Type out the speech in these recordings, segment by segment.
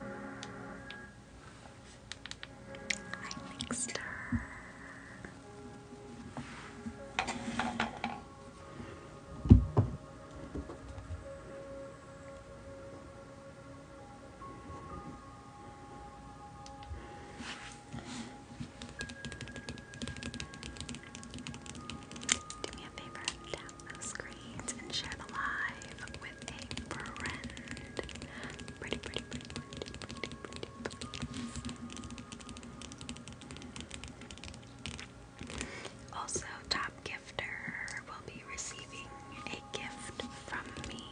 I think Do me a favor, the screens and share the live with a friend. Pretty, pretty, pretty, pretty, pretty, pretty, Also, top gifter will be receiving a gift from me.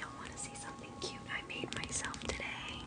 Y'all want to see something cute I made myself today?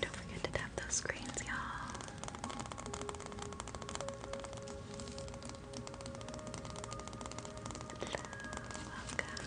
Don't forget to tap those screens, y'all. Welcome.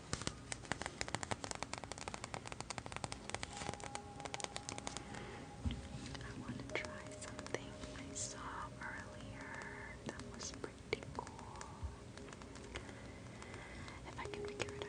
I want to try something I saw earlier that was pretty cool. If I can figure it out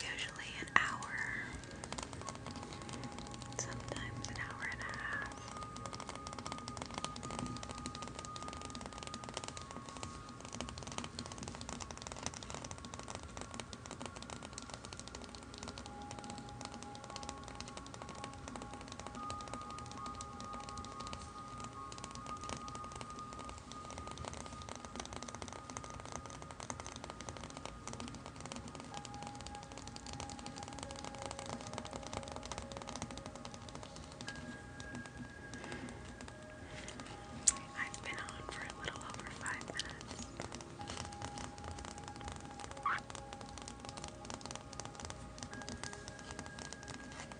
Usually an hour, sometimes an hour and a half. I've been on for a little over five minutes.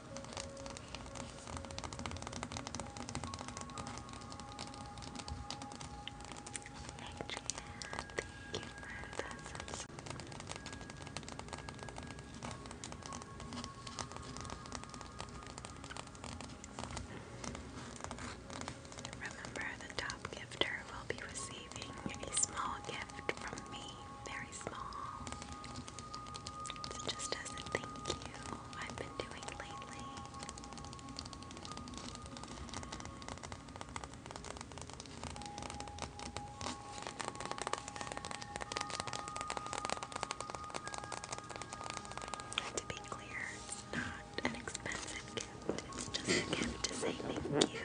thank you Remember, the top gifter will be receiving a small gift from me. It's just as a thank you I've been doing lately. to be clear, not an expensive gift, it's just a gift to say thank you for being here.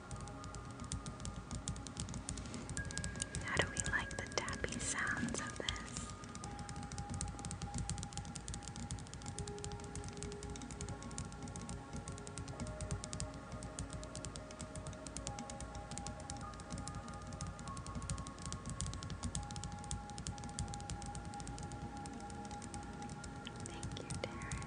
How do we like the tappy sounds of this? Thank you, Derek.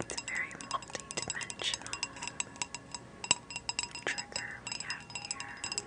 It's a very multidimensional. trigger we have here.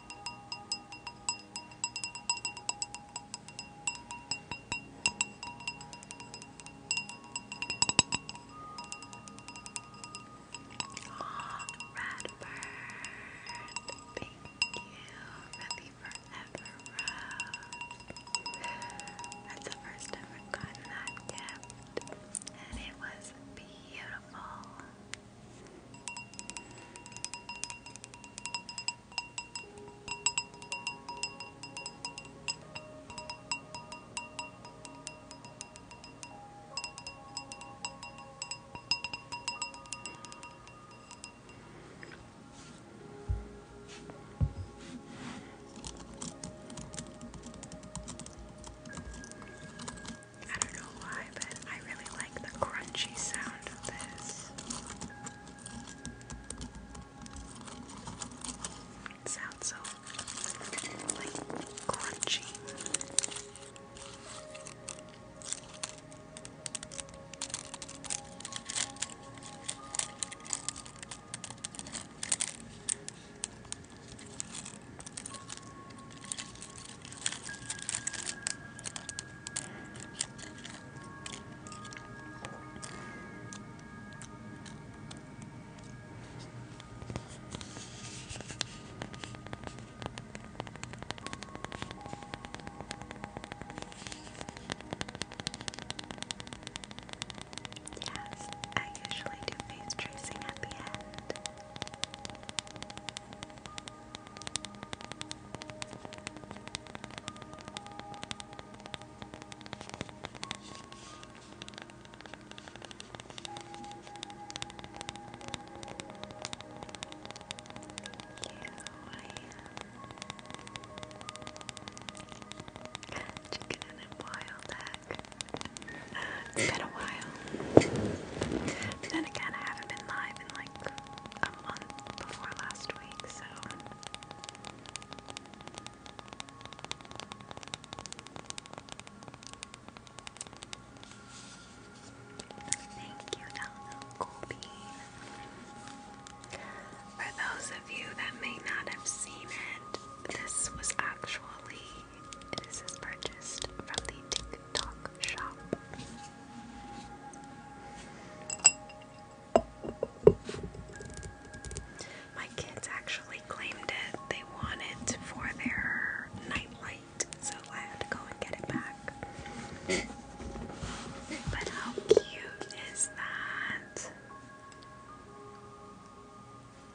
Oh, Radbird, thank you for the forever That's the first time I've that gift, and it was beautiful. I don't know why, but I really like the crunchy sound of this. It sounds so like crunchy. Yes, I usually do face tracing at the end. Chicken and a boiled been a while. Then again, I haven't been live in like a month before last week, so. Thank you, Delano Colby. For those of you that may not have seen it, this was actually, purchased from the TikTok shop. My kids actually claimed it. They won it for their nightlight, so I had to go and get it back. But how cute is that?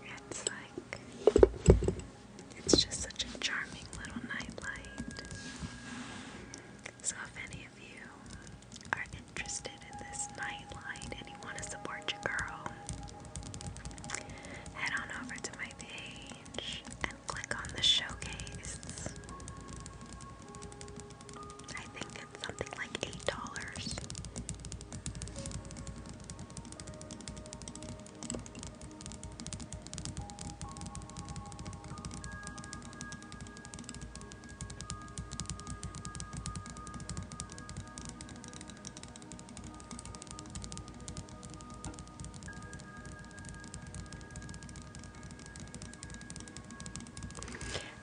It's like, it's just such a charming little nightlight. So, if any of you are interested in this nightlight and you want to support your girl, head on over to my page and click on the showcase. I think it's something like $8.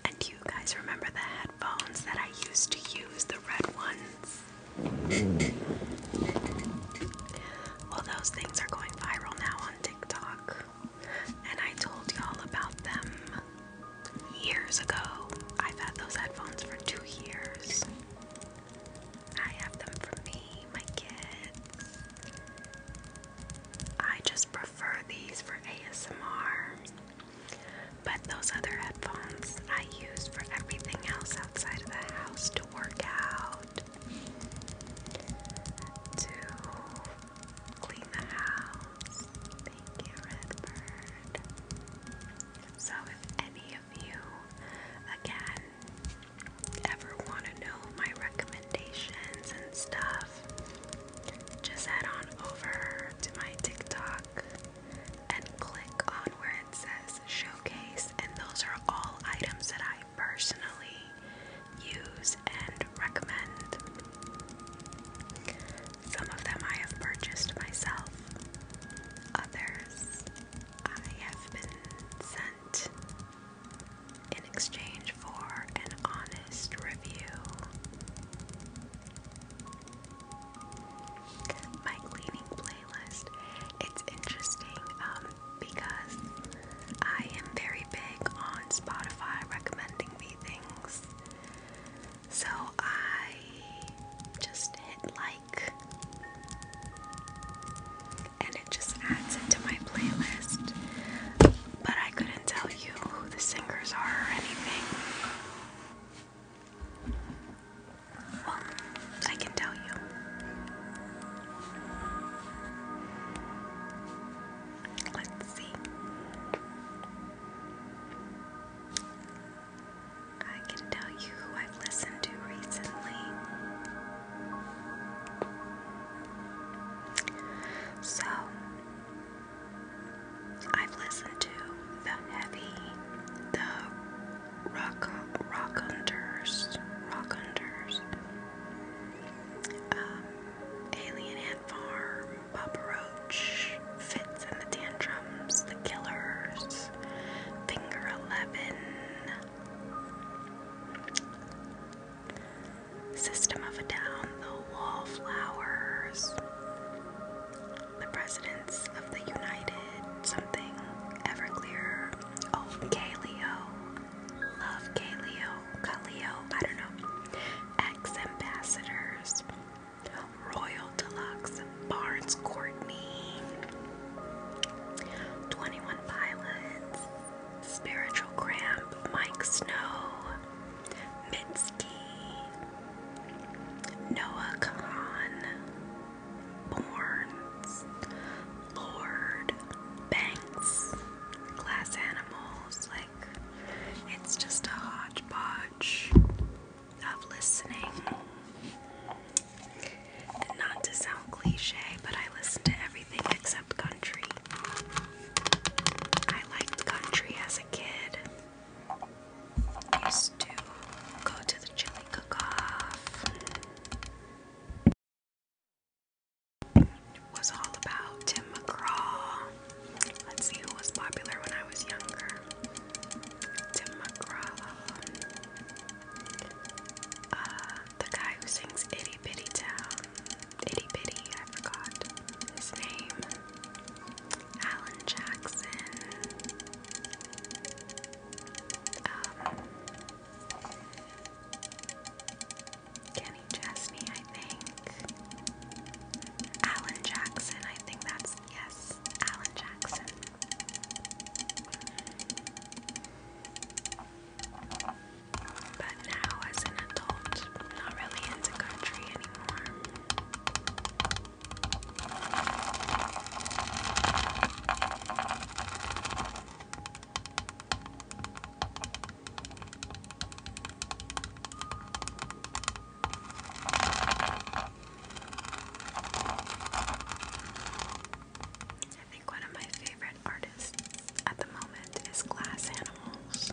And you guys remember the headphones that I used to use, the red ones? well, those things are going viral now on TikTok and I told y'all about them years ago. I've had those headphones for two years. I have them for me, my kids. I just prefer these for ASMR. But those other headphones I use for everything else outside of the house to work out, to Clean the house. Thank you, Redbird. So, if any of you, again, ever want to know my recommendations and stuff, just head on over to my TikTok and click on where it says showcase, and those are all items that I personally use, and recommend. Some of them I have purchased myself, others I have been sent in exchange for an honest review. My cleaning playlist. It's interesting um, because I am very big on Spotify recommending me things. So I just hit like, and it just adds it to my playlist. But I couldn't tell you who the singers are or anything. Well, I can tell you. Let's see. I can tell you who I've listened to recently. So, I've listened to The Heavy, The Rock Rock Hunters, Rock Hunters, um, alien Ant Farm, Papa Roach, Fits and the Tantrums, The Killers, Finger Eleven, System of a Down, The Wallflowers, The Presidents of the United, Something, Everclear, Oh, Kaleo, Love Kaleo, Kaleo, I don't know. Ex Ambassadors, Royal Deluxe, Barnes Courtney, 21 Pilots, Spiritual Cramp, Mike Snow, Mitski, Noah Khan, Borns, Lord, Banks, Glass Animals, like it's just a hodgepodge of listening. And not to sound cliche, but I listen to everything except country. I liked country as a kid. used to go to the chili cook-off was all about Tim McGraw. Let's see who was popular when I was younger. Tim McGraw. Uh, the guy who sings Itty Bitty Town. Itty Bitty, I forgot his name. Alan Jackson. Um, Kenny Chesney, I think. Alan Jackson, I think that's yes, Alan Jackson. But now, as an adult, not really into country anymore. I think one of my favorite artists at the moment is Glass Animals.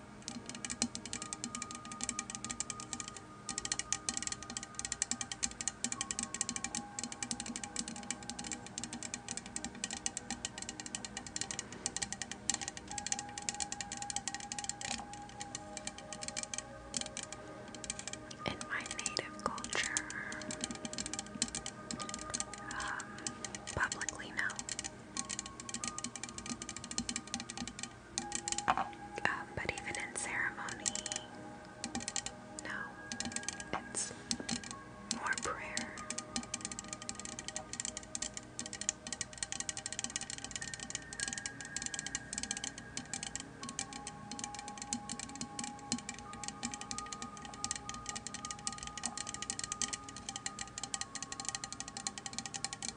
In my native culture, um, publicly known um, but even in ceremony, no, it's more prayer.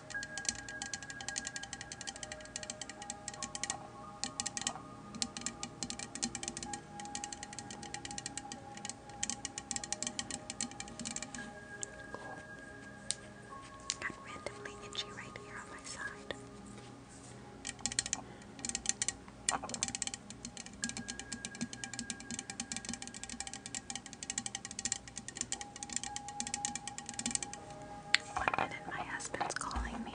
Cool. Got randomly itchy right here on my side. One minute, my husband's calling me.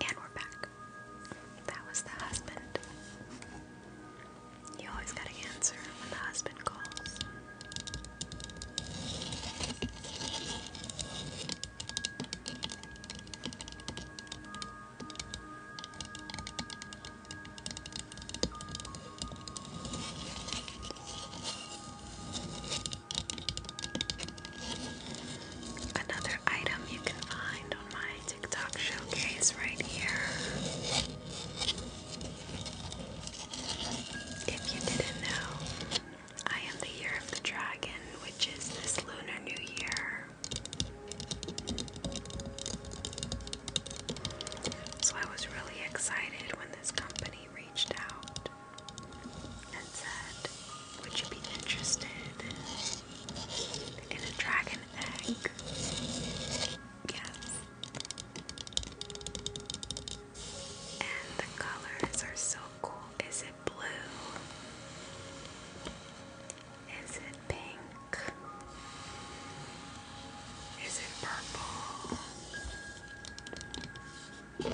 And we're back. That was the husband. You always gotta answer when the husband calls. Another item you can find on my TikTok showcase right here. If you didn't know, I am the year of the dragon, which is this lunar new year. So I was really excited when this company reached out and said, Would you be interested in a dragon egg? Yes. And the colors are so cool. Is it blue? Is it pink? Is it purple? And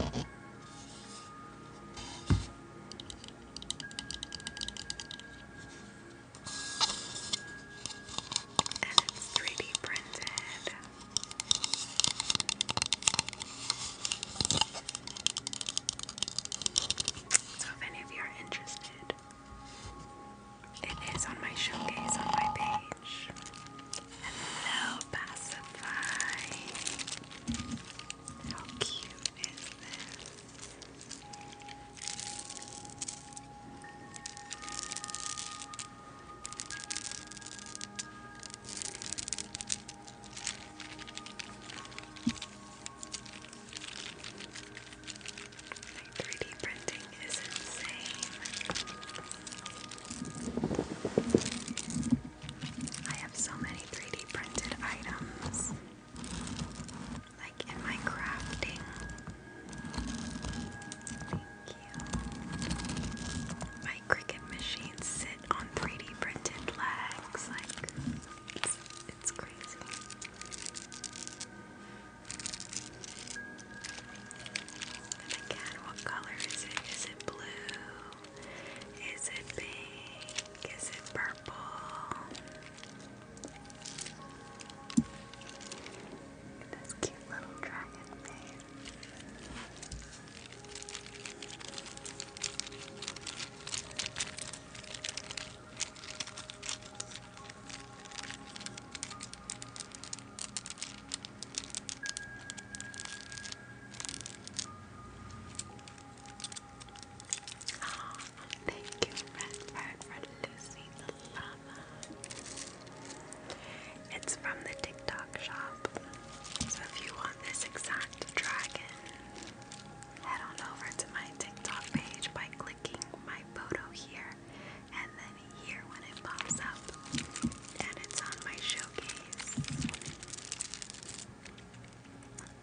it's 3D printed. So if any of you are interested, it is on my showcase on my page. Hello, Pacify. How cute is this? Like 3D printing is insane. I have so many 3D printed items, like in my crafting. Thank you. My Cricut machines sit on 3D printed legs, like it's crazy. And again, what color is it? Is it blue? Is it pink? Is it purple? Look at this cute little dragon thing. Oh, thank you, Redbird, for Lucy the Llama. It's from the TikTok shop. So if you want this exact dragon, head on over to my TikTok page by clicking my photo here and then here when it pops up. And it's on my show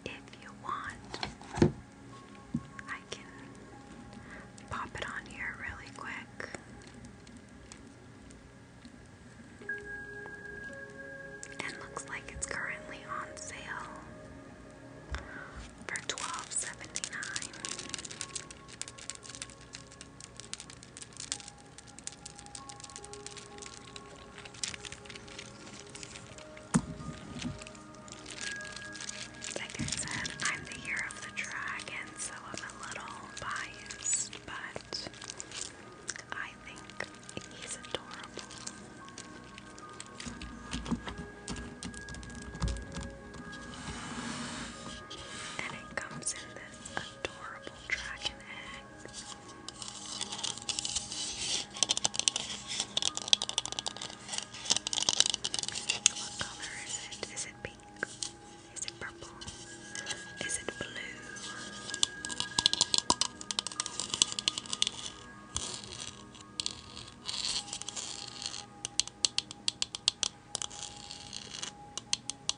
if you want, I can pop it on here really quick. And looks like it's currently on sale for $12.79. Like I said, I'm the year of the dragon, so I'm a little biased, but I think he's adorable. And it comes in this adorable dragon egg is it pink? Is it purple? Is it blue?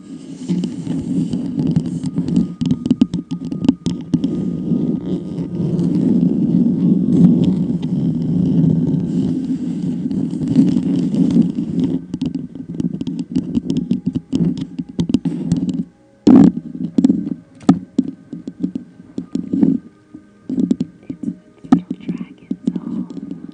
It's little dragon's home.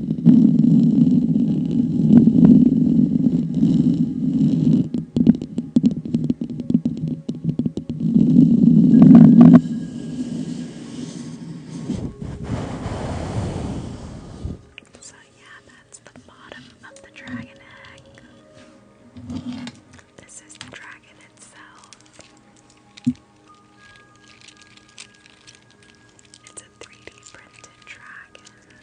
So, yeah, that's the bottom of the dragon egg. This is the dragon itself. It's a 3D printed dragon.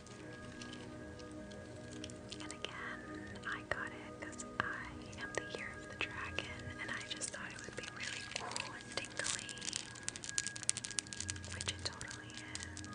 And again, I got it because I am the year of the dragon, and I just thought it would be really cool and tingly, which it totally is.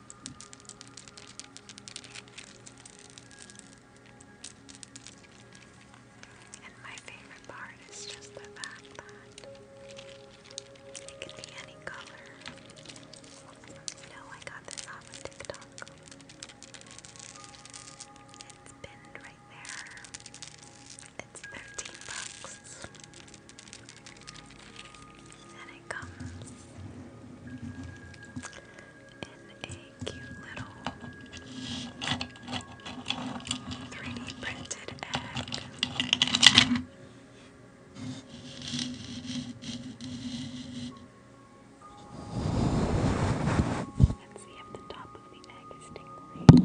And my favorite part is just the fact that it can be any color. No, I got this off of TikTok. It's pinned right there. It's 13 bucks. And it comes in a cute little 3D printed egg. Let's see if the top of the egg is tingling.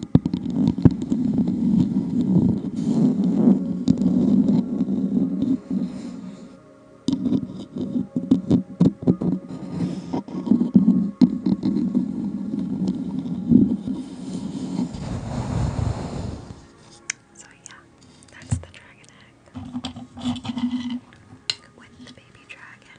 So, yeah, that's the dragon egg with the baby dragon.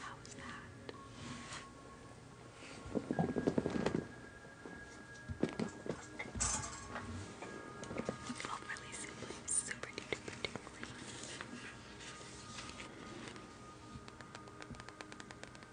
How was that? Overly simple, super duper duper.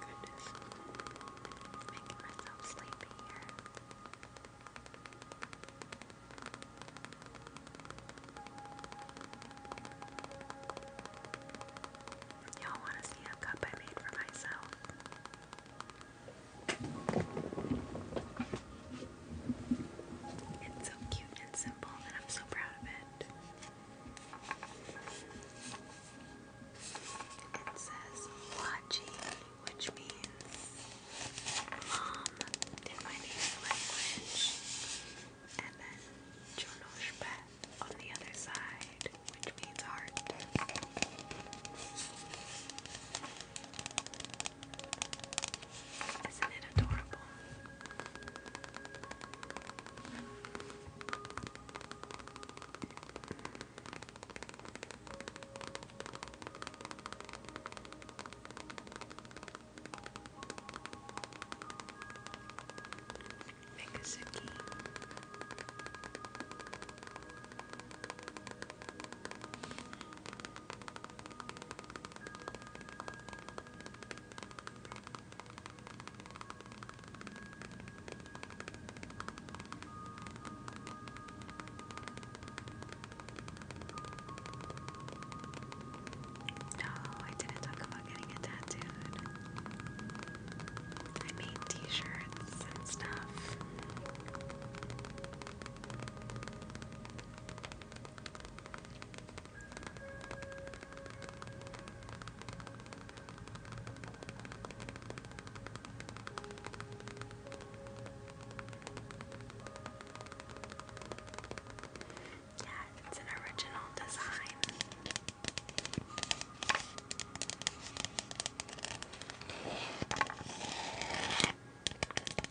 Goodness, i myself sleepy here. Y'all want to see a cup I made for myself? It's so cute and simple, and I'm so proud of it. It says Wachi, which means mom in my native language, and then Jonoshpe on the other side, which means heart. Isn't it adorable? Mikazuki. No, I didn't talk about getting a tattooed. I made t-shirts and stuff. Yeah, it's an original design.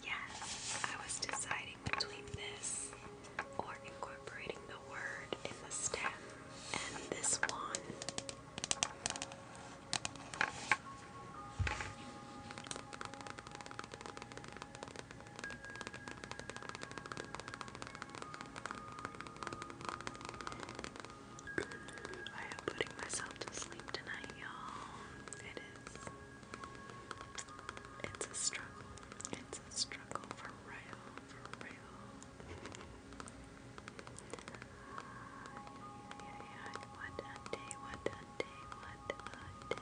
Yes, I was deciding between this or incorporating the word in the stem and this one. I am putting myself to sleep tonight, y'all. It is it's a struggle. It's a struggle for real, for real. Yeah, What a day, what a day, what a day.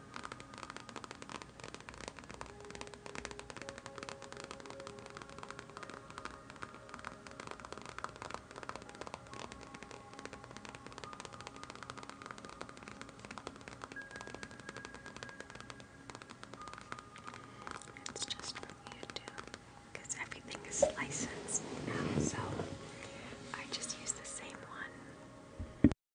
It's just from YouTube because everything is licensed now, so I just use the same one.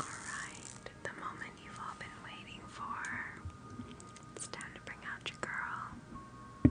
Alright, the moment you've all been waiting for. It's time to bring out your girl.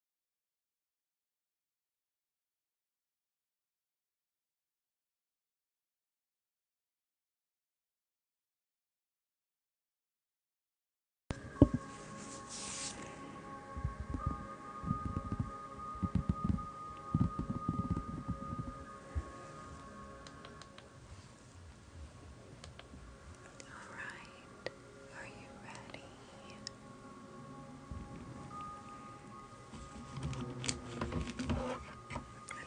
All right, are you ready? Let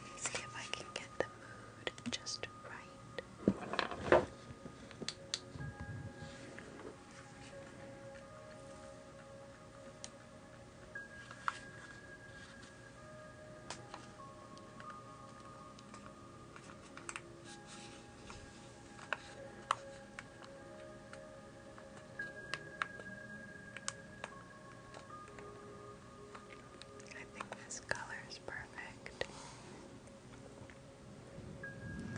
me see if I can get the mood just right. I think this color is perfect. Food.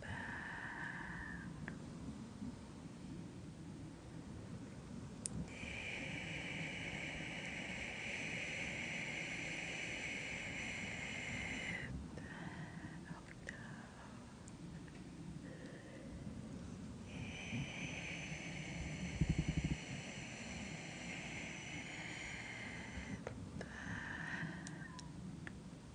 bad. Out Good.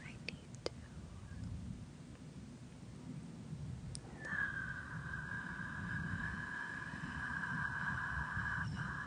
I need to not, not, not,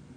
Valila,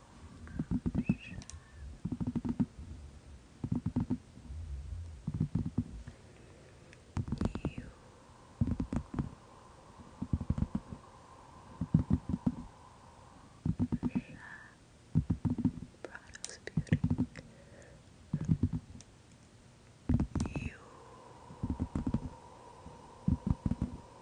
You Prada's beauty. You. You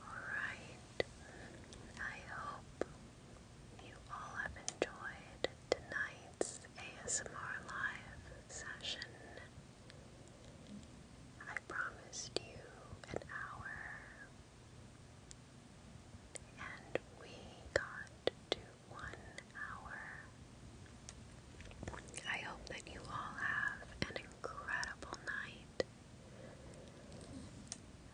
Alright, I hope you all have enjoyed tonight's ASMR live session. I promised you an hour, and we got to one hour I hope that you all have an incredible night.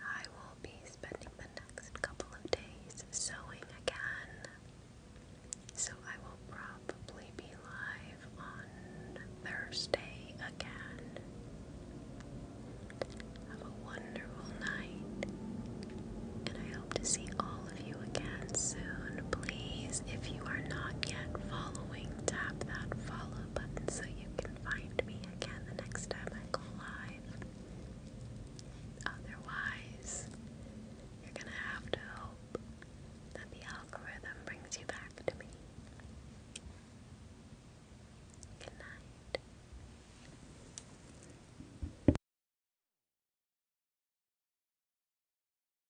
I will be spending the next couple of days sewing again. So I will probably be live on Thursday again. Have a wonderful night, and I hope to see all of you again soon. Please, if you are not yet following, tap that follow button so you can find me again the next time I go live. Otherwise, you're gonna have to hope that the algorithm brings you back to me. Good night.